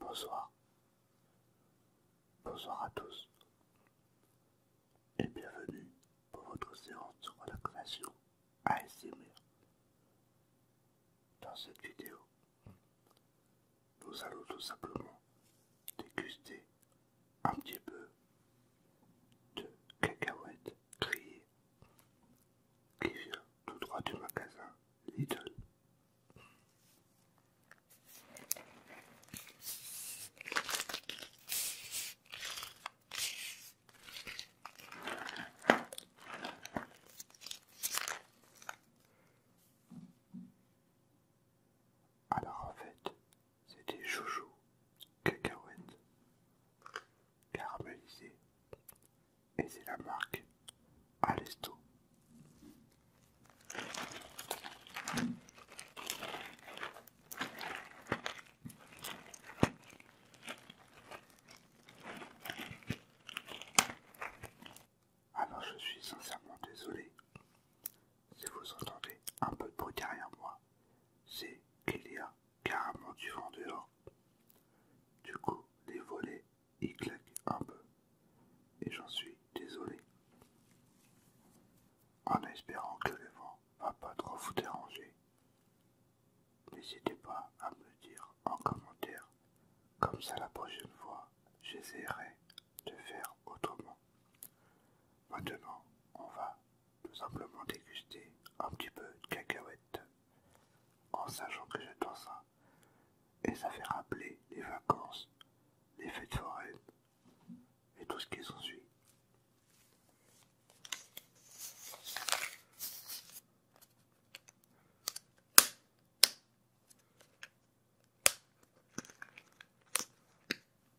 Bonsoir. Bonsoir à tous. Et bienvenue pour votre séance de relaxation ASMR. Dans cette vidéo, nous allons tout simplement déguster un petit peu de cacahuètes qui vient tout droit du magasin Lidl. Alors en fait, c'est des jojo cacahuètes caramélisées et c'est la marque Alesto. Alors je suis sincèrement désolé si vous entendez un peu de bruit derrière moi, c'est Kélia carrément du vent dehors. Du coup, les volets y claquent un peu, et j'en suis désolé. En espérant que le vent va pas trop vous déranger, n'hésitez pas à me dire en commentaire, comme ça la prochaine fois, j'essaierai de faire autrement. Maintenant, on va tout simplement déguster un petit peu de cacahuètes en sachant que j'adore ça et ça fait rappeler les vacances, les fêtes foraines et tout ce qui s'ensuit.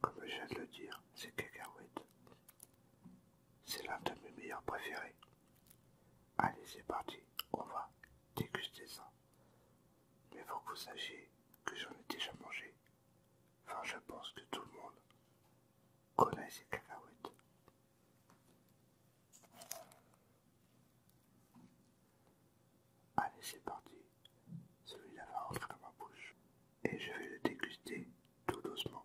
Comme je viens de le dire, c'est cacahuètes, C'est l'un de mes meilleurs préférés. Allez, c'est parti, on va déguster ça. Mais faut que vous sachiez que j'en ai déjà mangé. Enfin, je pense que tout le monde connaît ces cacahuètes. Allez, c'est parti. Celui-là va rentrer dans ma bouche. Et je vais le déguster tout doucement.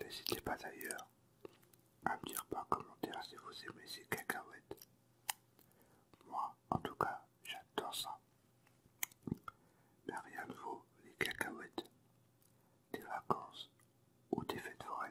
N'hésitez pas d'ailleurs à me dire par commentaire si vous aimez ces cacahuètes. Moi, en tout cas, j'adore ça. Mais rien ne vaut les cacahuètes, des vacances ou des fêtes foraines.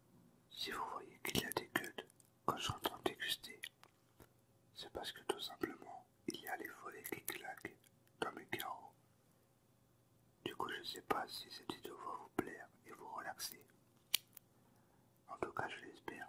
Si vous voyez qu'il y a des quand que de déguster, c'est parce que tout simplement il y a les volets qui claquent dans mes carreaux. Du coup, je sais pas si cette vidéo va vous plaire et vous relaxer. En tout cas, je l'espère.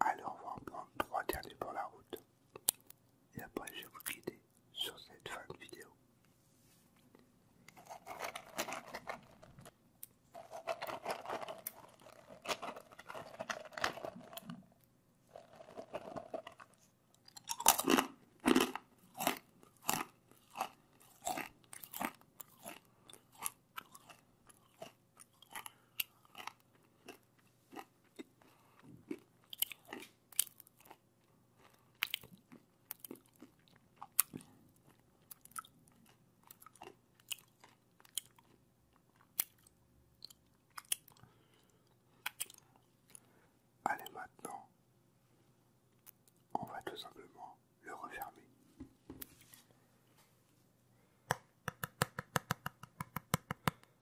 Alors, on va en prendre trois derniers pour la route. Et après, je vais vous guider sur cette fin de vidéo. Allez maintenant, on va tout simplement le refermer.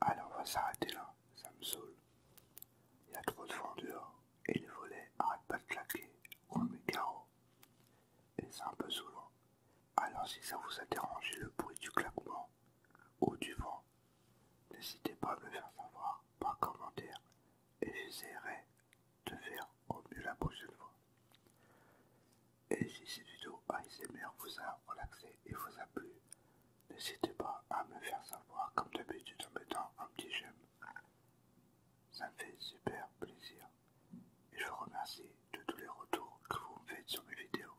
Alors on va s'arrêter là, ça me saoule. Il y a trop de vent dehors et les volets arrêtent pas de claquer comme les carreaux. Et c'est un peu saoulant. Alors si ça vous a dérangé le bruit du claquement ou du vent, n'hésitez pas à me le faire savoir par commentaire et j'essaierai de faire au mieux la prochaine fois. Et si cette vidéo ASMR vous a relaxé et vous a plu, n'hésitez pas à me faire savoir comme d'habitude en mettant un petit j'aime. Ça me fait super plaisir. Et je vous remercie de tous les retours que vous me faites sur mes vidéos.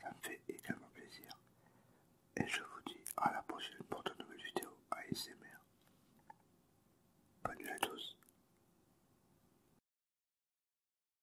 Ça me fait également plaisir. Et je vous dis à la prochaine pour de nouvelles vidéos ASMR. Bonne nuit à tous.